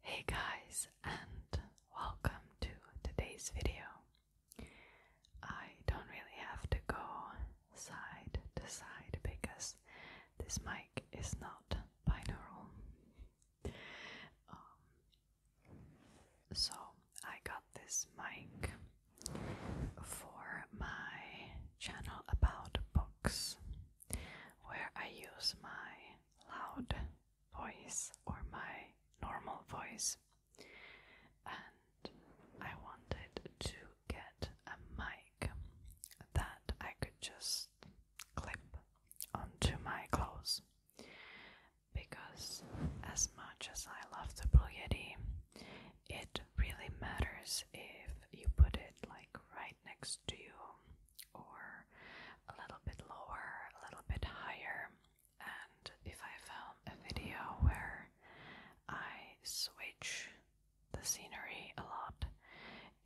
Hey guys, and welcome to today's video. I don't really have to go side to side because this mic is not binaural. Um, so, I got this mic for my channel about books where I use my loud voice or my normal voice, and I wanted to get a mic that I could just clip onto my clothes because, as much as I love the Blue Yeti, it really matters if you put it like right next to you or a little bit lower, a little bit higher. And if I film a video where I switch the scenery a lot,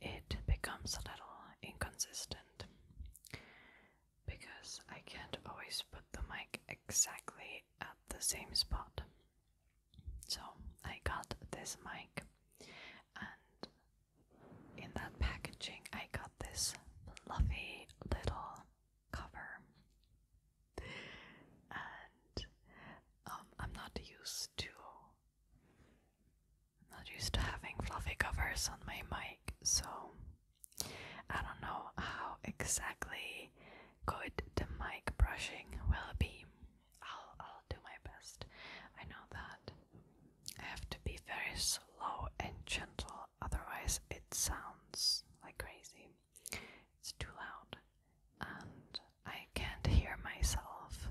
it becomes a little inconsistent because I can't always put the mic exactly at the same spot. So I got this mic and in that packaging, I got this fluffy little cover, and um, I'm not used to I'm not used to having fluffy covers on my mic, so I don't know how exactly good the mic brushing will be. I'll I'll do my best. I know that I have to be very slow and gentle, otherwise it sounds like crazy. It's too loud, and I can't hear myself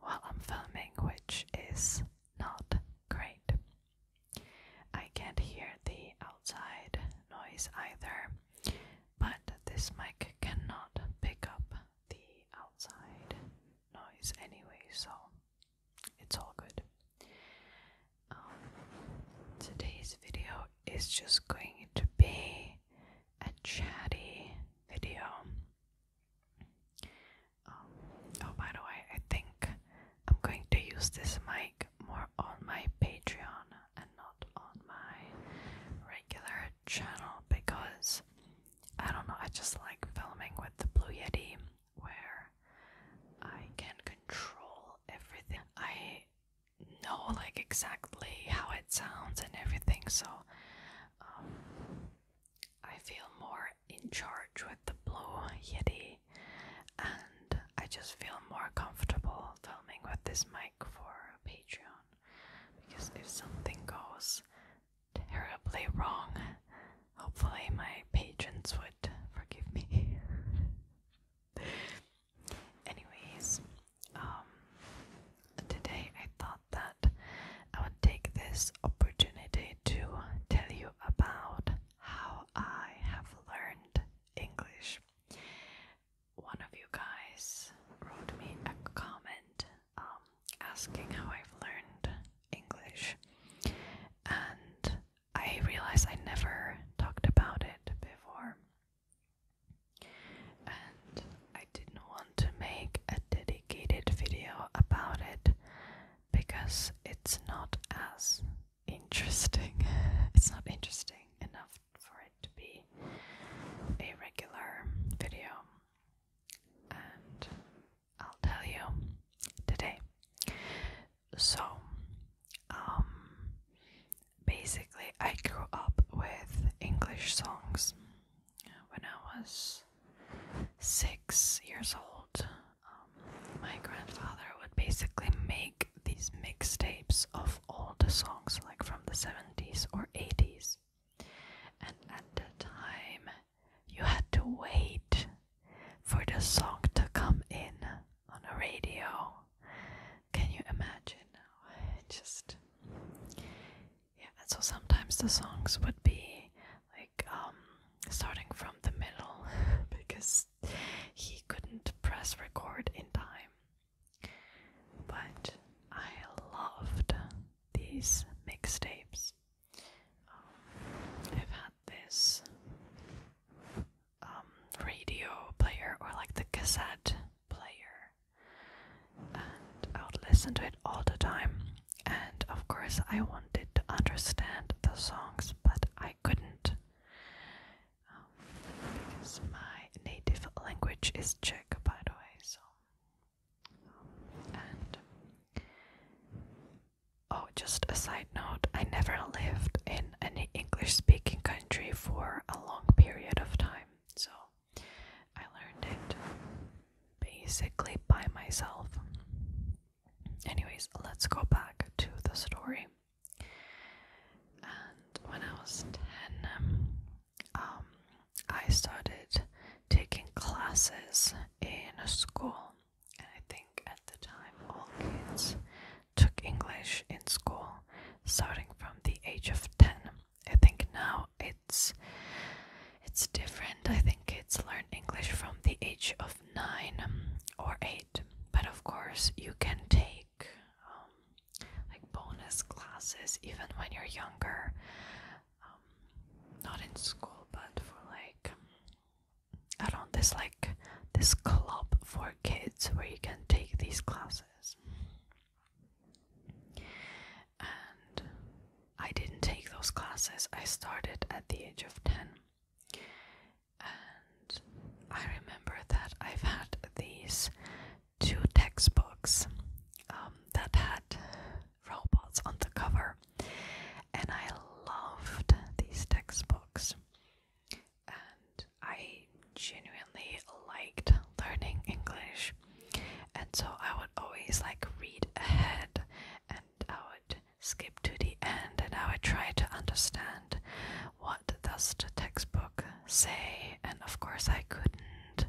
while I'm filming, which is not great. I can't hear the outside noise either, but this mic cannot pick up the outside noise anyway, so it's all good. Um, today's video is just going to be a chatty video. Um, oh, by the way, I think I'm going to use this mic more on my Patreon and not on my regular channel because I don't know, I just like filming with the Blue Yeti where I can control everything. I know like exactly how it sounds and everything, so um, I feel more in charge with the Blue Yeti and I just feel more comfortable filming with this mic for Patreon because if something goes terribly wrong. Hopefully, my patrons would forgive me. Anyways, um, today I thought that I would take this opportunity to tell you about how I have learned English. One of you guys wrote me a comment um, asking how I've learned English, and I realized I never talked about it before, and I didn't want to make a dedicated video about it because it's not as interesting. it's not interesting enough for it to be a regular video. And I'll tell you today. So, um, basically, I grew up with English songs when I was six years old. Um, my grandfather would basically make these mixtapes of all the songs, like from the 70s or 80s and at the time you had to wait for the song to come in on the radio. Can you imagine now? Just yeah, and so sometimes the songs would be like um starting from the middle because he couldn't press record in time. But I loved these mixtapes. Um, I've had this um, radio player or like the cassette player, and I would listen to it all the time. And of course, I wanted to understand the songs, but I couldn't um, because my native language is Czech, by the way. So oh, just a side note I never lived in any English speaking country for a long period of time, so I learned it basically by myself. Anyways, let's go back to the story. And when I was 10, um, I started taking classes in school, and I think at the time all kids took English in school starting from the age of 10. I think now it's it's different. I think kids learn English from the age of 9 or 8, but of course, you can take um, like bonus classes even when you're younger. Um, not in school, but for like I don't. this like this club for kids where you can take these classes. And I didn't take those classes. I started at the age of ten. And I remember that I've had these two textbooks um, that had robots on the cover, and I loved these textbooks. And I genuinely liked learning English, and so I would always like read ahead, and I would skip to the end, and I would try to understand what does the textbook say. And of course, I couldn't.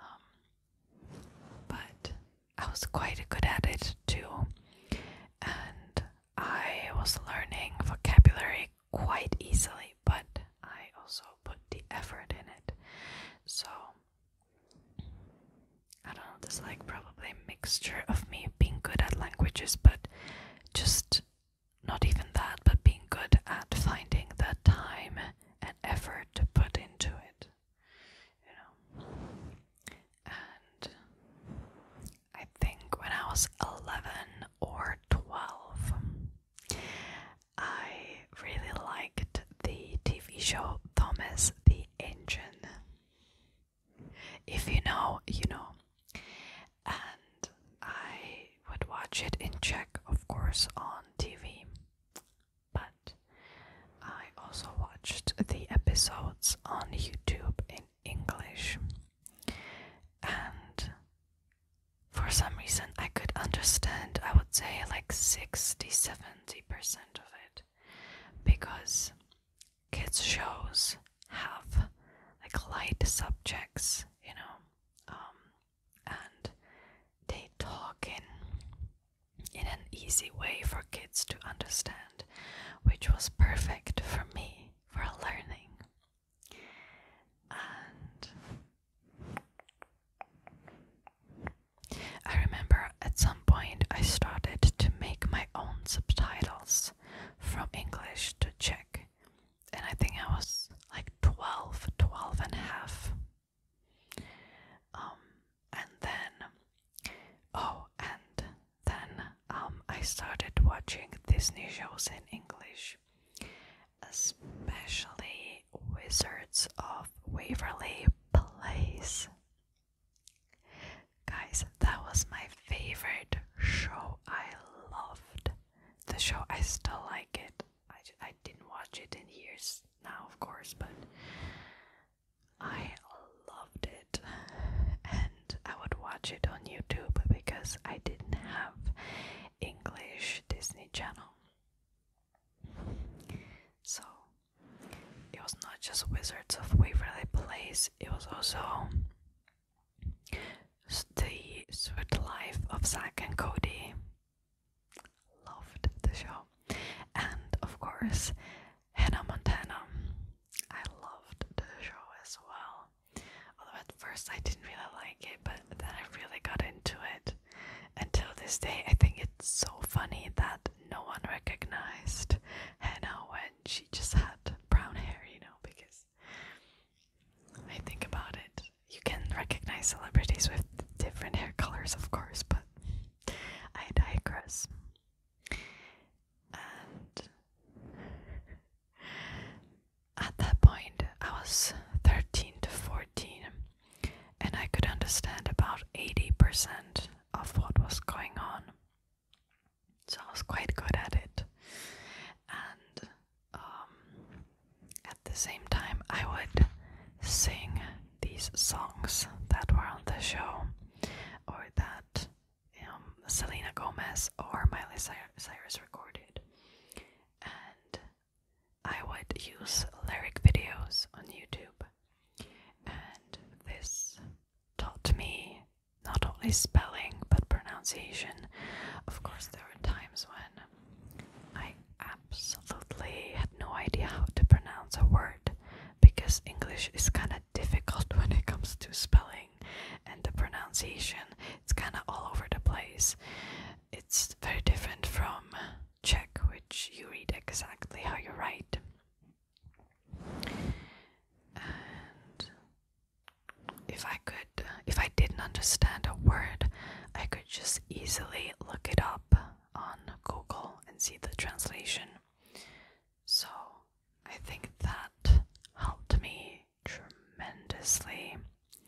Um, but I was quite good at it too, and I was learning vocabulary quite easily, but I also put the effort in it. So I don't know, there's like probably a mixture of me being good at languages, but just not even that, but being good at finding the time and effort to put into it you And I think when I was 11 or 12, I really liked the TV show Thomas the Engine. If you know, you know. And I would watch it in Czech, of course, on TV. But I also watched the episodes on YouTube in English, and for some reason, I could understand, I would say, like 60 70% of it because kids' shows have like light subjects, you know. Um, and they talk in in an easy way for kids to understand, which was perfect for me for learning. And I remember at some point I started to make my own subtitles from English to Czech. And I think I was like 12, 12 and a half um, and then, oh, and then um, I started watching Disney shows in English, especially Wizards of Waverly Place. Guys, that was my favorite show. I loved the show, I still like it. I, I didn't watch it in years now, of course, but I loved it. And I would watch it on YouTube because I didn't have English Disney Channel. So it was not just Wizards of Waverly Place, it was also the Sweet Life of Zack and Cody Loved the show. And of course, Hannah Montana. I loved the show as well. Although at first I didn't really like it, but then I really got into it. Until this day, I think it's so funny that no one recognized Hannah when she just had brown hair, you know, because I think about it. You can recognize celebrities with different hair colors, of course, but I digress. And at that point, I was 13 to 14, and I could understand about 80% of what was going on. So I was quite good at it. Um, at the same time, I would sing these songs that were on the show or that um, Selena Gomez or Miley Cyrus recorded, and I would use lyric videos on YouTube. And this taught me not only spelling but pronunciation. Of course, there were times when I absolutely had no idea how to pronounce a word because English is kind of difficult when it comes to spelling and the pronunciation. It's kind of all over the place. It's very different from Czech, which you read exactly how you write. if I could, if I didn't understand a word, I could just easily look it up on Google and see the translation. So I think that helped me tremendously.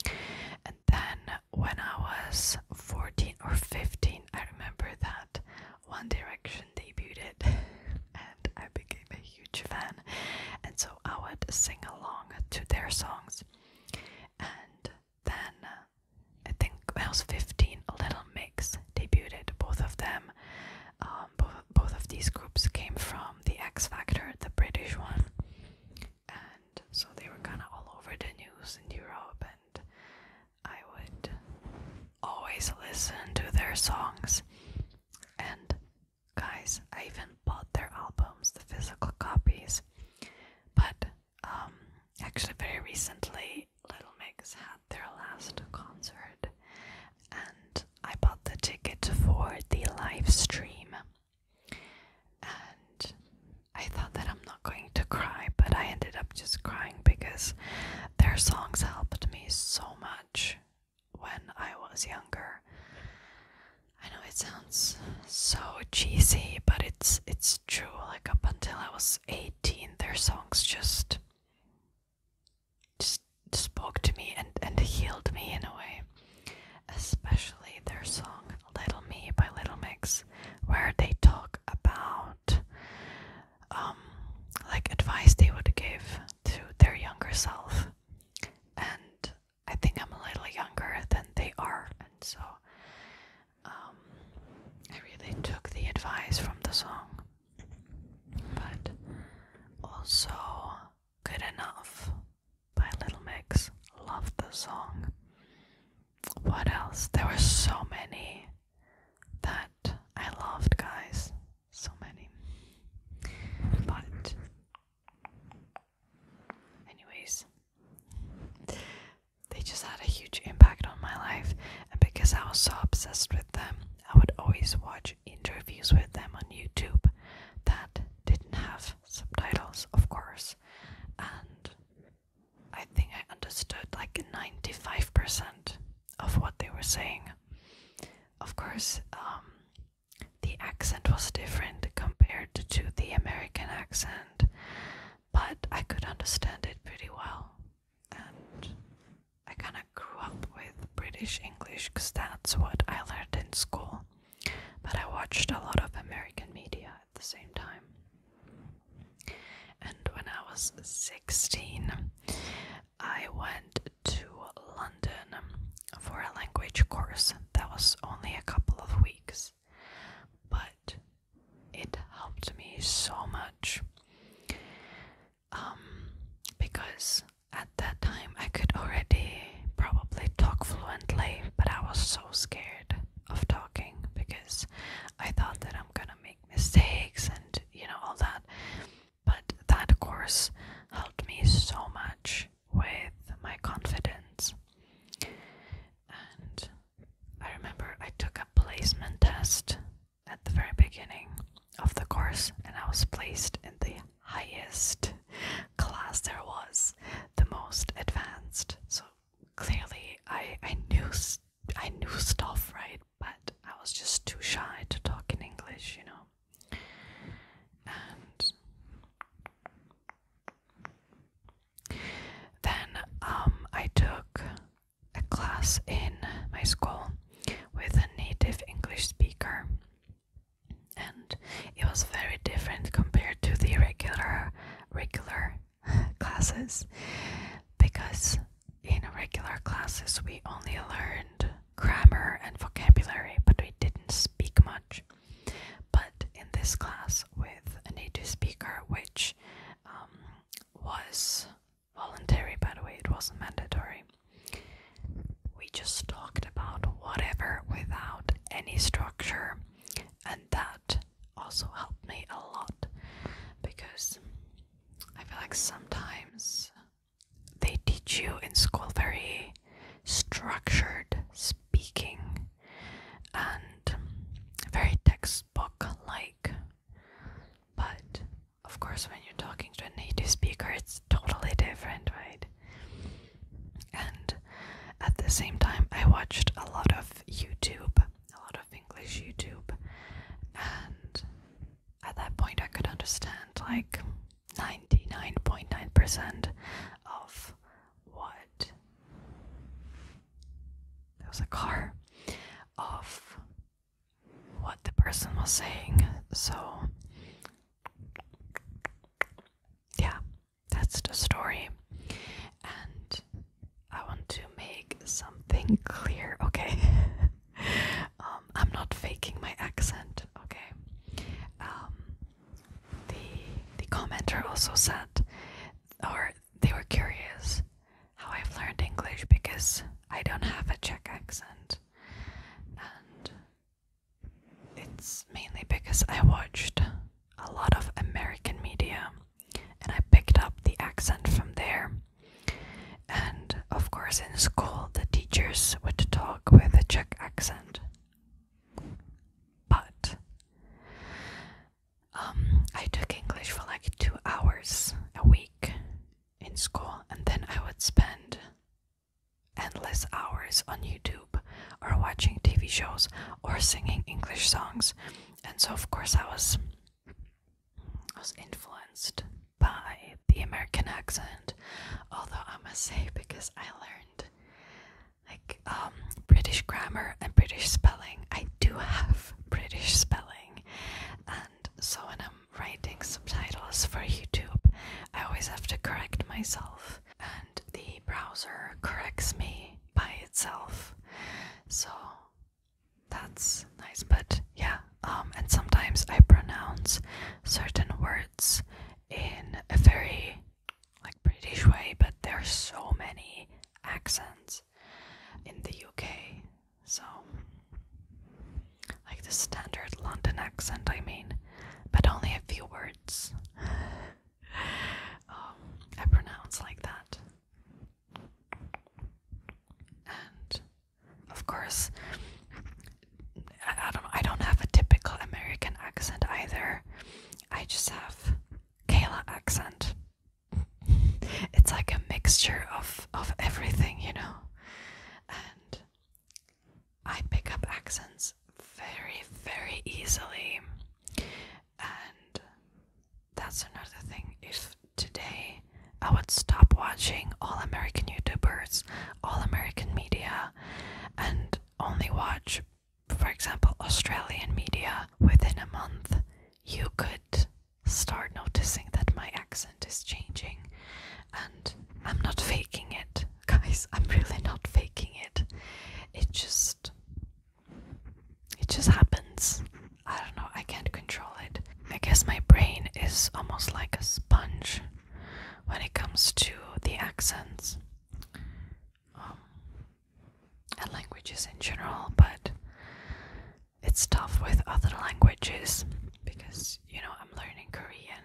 And then when I was 14 or 15, I remember that One Direction debuted and I became a huge fan. And so I would sing along to their songs. And then I think when 15, a Little Mix debuted. Both of them, um, both, both of these groups came from the X Factor, the British one, and so they were kind of all over the news in Europe. And I would always listen to their songs. And guys, I even bought their albums, the physical copies. But um, actually, very recently, Little Mix had their last concert, and I bought the ticket for the live stream. And I thought that I'm not going to cry, but I ended up just crying because their songs helped me so much when I was younger. I know it sounds so cheesy, but it's it's true like up until I was 18, their songs just just spoke to me and and healed me in a way. Especially their song "Little Me" by Little Mix, where they talk about um like advice they would give to their younger self. And I think I'm a little younger than they are, and so um, I really took the advice from the song, but also Good Enough by Little Mix. Love the song. What else? There were so many that I loved, guys. So many. But, anyways, they just had a huge impact on my life, and because I was so obsessed with them, I would always watch interviews with them on YouTube that didn't have subtitles, of course. And I think I understood like 95% of what they were saying. Of course, um, the accent was different compared to the American accent, but I could understand it pretty well, and I kind of grew up with British English because that's what I learned in school. But I watched a lot of American media at the same time. And when I was 16, I went to London for a language course that was only a couple of weeks. But it helped me so much um, because at that time I could already probably talk fluently, but I was so scared of talking because I thought that I'm gonna make mistakes and you know all that. But that course helped me so much with my confidence, and I remember I took a placement test at the very beginning of the course, and I was placed in the highest class there was, the most advanced. So clearly, I I knew I knew stuff, right? But I was just too shy to talk in English, you know. Then um, I took a class in my school with a native English speaker, and it was very different compared to the regular regular classes because in regular classes we only learned grammar and vocabulary, but we didn't speak much. But in this class with a native speaker, which um, was voluntary, by the way, it wasn't mandatory, we just talked about whatever without any structure, and that also helped me a lot because I feel like sometimes they teach you in school very structured speaking and very textbook like. But of course, when you're talking to a native speaker, it's totally different, right? And at the same time, I watched a lot of YouTube, a lot of English YouTube, and at that point, I could understand like 99.9% percent of what there was a car of what the person was saying. So, yeah, that's the story. And I want to make something clear, okay? Um, I'm not faking my accent, okay? Um, the the commenter also said, or they were curious how I've learned English because I don't have a Czech accent, and it's mainly because I watched a lot of American media and I picked up the accent from there. And of course, in school, the teachers would talk with a Czech accent. But um, I took English for like two hours a week in school, and then I would spend endless hours on YouTube or watching TV shows or singing English songs. And so, of course, I was, I was influenced by the American accent. Although I must say, because I learned like um, British grammar and British spelling. I do have British spelling, and so when I'm writing subtitles for YouTube, I always have to correct myself, and the browser corrects me by itself. So that's nice, but yeah, um, and sometimes I pronounce certain words in a very like British way, but there's so many accents in the UK. So, like the standard London accent, I mean, but only a few words. Um, I pronounce like that. And of course, I don't. I don't have a typical American accent either. I just have Kayla accent. It's like a mixture of of everything, you know. And I pick up accents very, very easily. And that's another thing. If today I would stop watching all American YouTubers, all American media, and only watch for example, Australian media, within a month, you could start noticing that my accent is changing. And I'm not faking it, guys. I'm really not faking it. It just. It just happens. I don't know, I can't control it. I guess my brain is almost like a sponge when it comes to the accents. Um, and languages in general, but it's tough with other languages because you know I'm learning Korean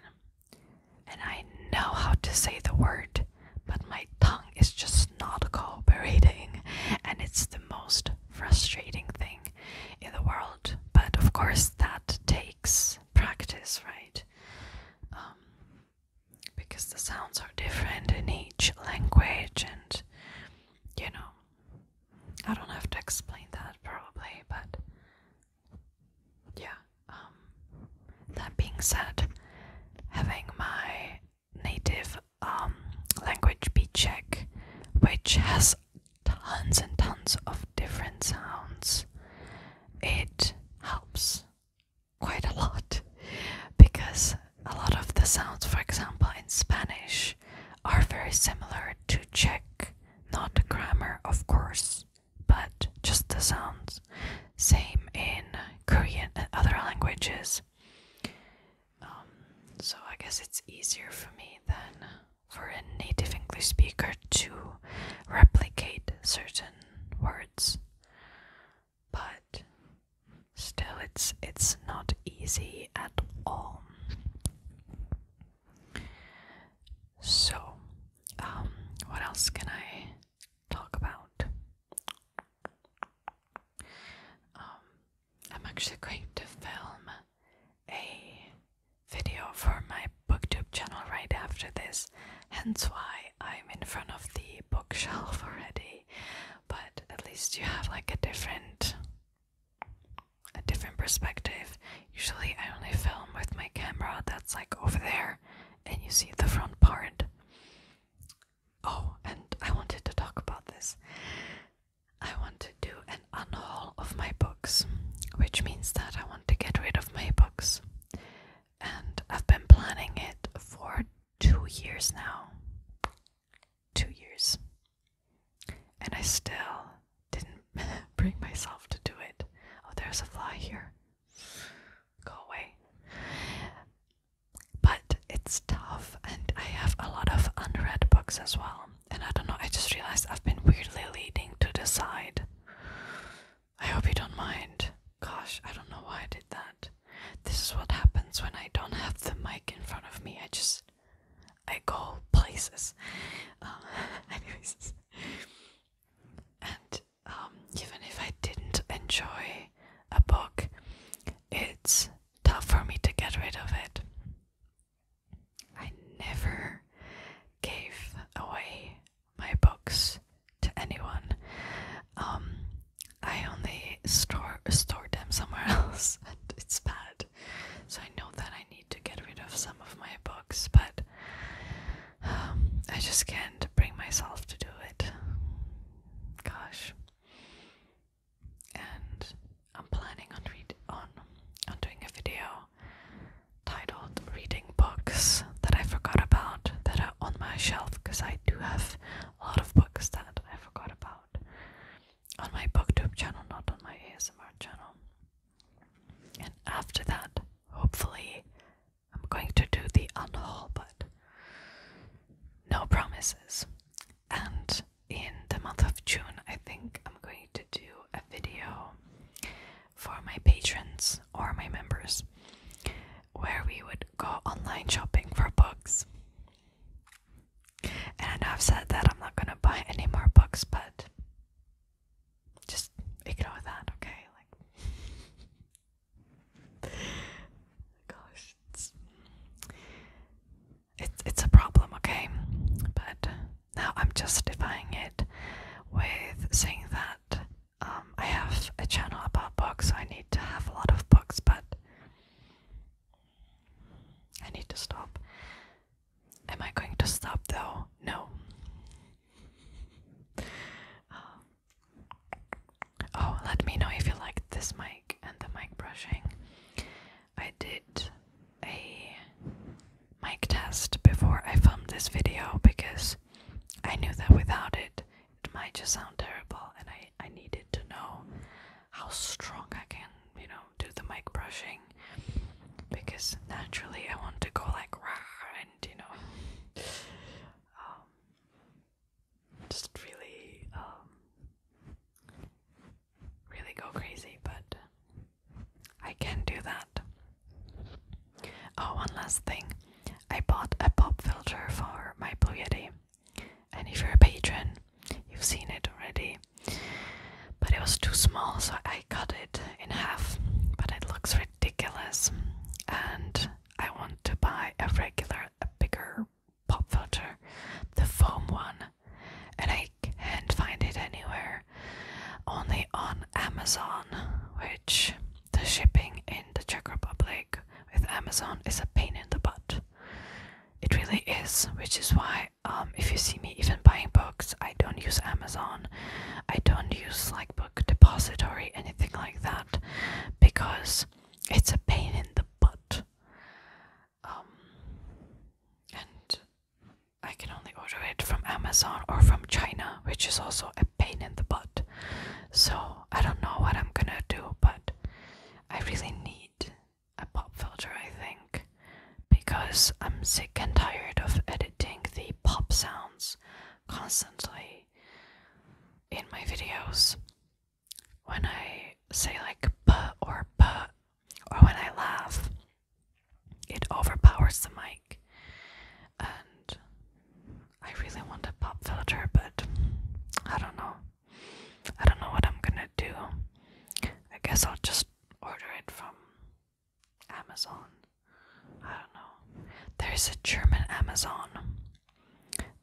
and I know how to say the word, but my tongue is just not cooperating, and it's the most frustrating thing in the world. But of course, that takes practice, right? Um, because the sounds are different in each language, and you know, I don't have to explain that probably, but yeah. Um, that being said, having my native um, language be Czech, which has tons and tons of different sounds, it helps quite a lot because a lot of the sounds, for example, in Spanish are very similar to Czech, not the grammar, of course, but just the sounds. Same in Korean and other languages. Um, so I guess it's easier for me than for a native English speaker to replicate certain words but still it's it's not easy at all. So, um what else can I talk about? Um I'm actually going to film a video for my booktube channel right after this, hence why I'm in front of the bookshelf already but at least you have like a different a different perspective. Usually I only film with my camera that's like over there and you see the front part. Oh, and I wanted to talk about this. I want to do an unhaul of my books, which means that I want to get rid of my books. And I've been planning it for two years now. Two years. And I still didn't bring myself to do it. Oh, there's a fly here. Go away. But it's tough, and I have a lot of unread books as well. And I don't know, I just realized I've been weirdly leaning to the side. I hope you don't mind. Gosh, I don't know why I did that. This is what happens when I don't have the mic in front of me. I just I go places. Uh, anyways, and um, even if I didn't enjoy a book, it's tough for me to get rid of it. I never gave away my books to anyone. Um, I only store store them somewhere else, and it's bad. So I know that I need to get rid of some of my books, but um, I just can't bring myself to do it. Gosh, and I'm planning on read on on doing a video titled "Reading Books That I Forgot About" that are on my shelf because I do have a lot of books that I forgot about on my booktube channel, not on my ASMR channel. And after that, hopefully, I'm going to do the unhaul, but no promises. And in the month of June, I think I'm going to do a video for my patrons or my members where we would go online shopping for books. And I have said that I'm not gonna buy any more books, but just ignore that, okay? Like, gosh, it's it's a problem, okay? But now I'm justifying it with saying that um, I have a channel about books, so I need to have a lot of books, but I need to stop. Am I going to stop though? No. Um, oh, let me know if you like this mic and the mic brushing. I did a mic test before I filmed this video because I knew that without it, it might just sound terrible and I, I needed to know how strong I can, you know, do the mic brushing because naturally I want to go like rah and you know um, just really um, really go crazy but I can do that. Oh one last thing. I bought a pop filter for my Blue Yeti, and if you're a patron, you've seen it already. But it was too small, so I cut it in half. But it looks ridiculous, and I want to buy a regular, a bigger pop filter, the foam one, and I can't find it anywhere, only on Amazon, which the shipping in the Czech Republic with Amazon is a pain in the butt. It really is, which is why um, if you see me even buying books, I don't use Amazon. I don't use like Book Depository, anything like that, because it's a pain in the butt. Um, and I can only order it from Amazon or from China, which is also a pain in the butt. So I don't know what I'm gonna do, but I really need a pop filter, I think, because I'm sick and tired of editing the pop sounds constantly in my videos. When I say like p or p, or when I laugh, it overpowers the mic, and I really want a pop filter, but I don't know. I don't know what I'm gonna do. I guess I'll just order it from Amazon. I don't know. There's a German Amazon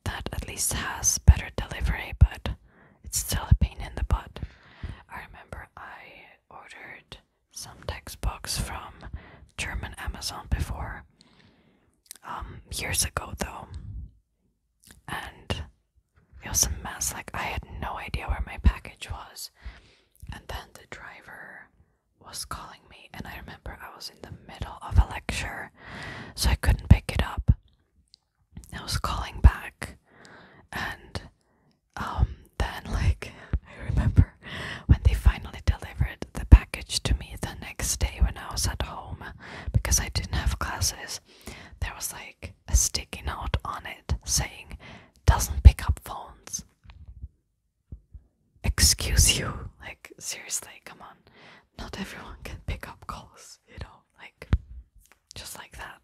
that at least has better delivery, but it's still a pain in the butt. I remember I ordered some textbooks from German Amazon before, um, years ago though, and it was a mess. Like I had no idea where my package was, and then the driver was calling me, and I remember I was in the middle of a lecture, so I couldn't pick it up. I was calling back, and um, then like I remember when they finally delivered the package to me the next day when I was at home because I didn't have classes. There was like a sticky note on it saying, doesn't pick up phones. Excuse you. Like, seriously, come on. Not everyone can pick up calls, you know, like, just like that.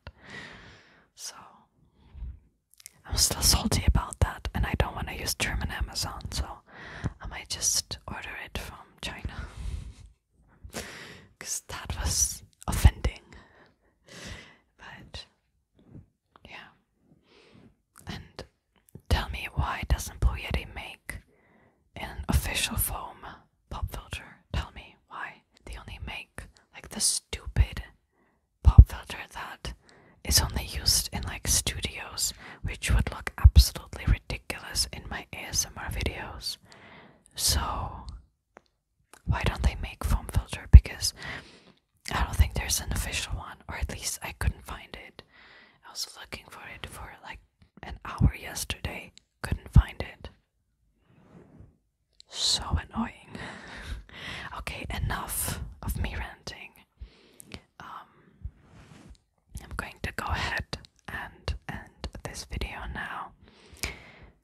So, I'm still salty about that, and I don't want to use German Amazon, so I might just order it from China because that was offending. But yeah. And tell me why doesn't Blue Yeti make an official foam pop filter? Tell me why they only make like the stupid pop filter that is only used in like studios which would look absolutely ridiculous in my ASMR videos. So, why don't they make foam filter? Because I don't think there's an official one, or at least I couldn't find it. I was looking for it for like an hour yesterday, couldn't find it. So annoying. okay, enough of me ranting. Um, I'm going to go ahead and end this video now.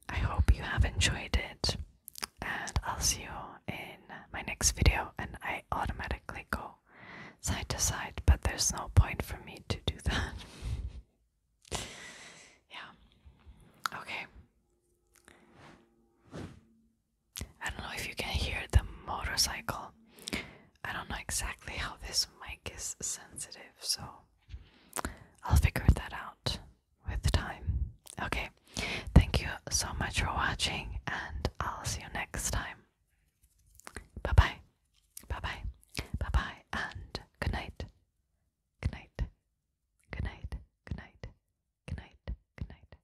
I hope you have enjoyed it, and I'll see you in my next video. And I automatically go side to side, but there's no point for me to do that. yeah. Okay. I don't know if you can hear the motorcycle. I don't know exactly how this mic is sensitive, so I'll figure that out with time. Okay, thank you so much for watching, and I'll see you next time. Bye bye, bye bye, bye bye, and good night. Good night, good night, good night, good night, good night.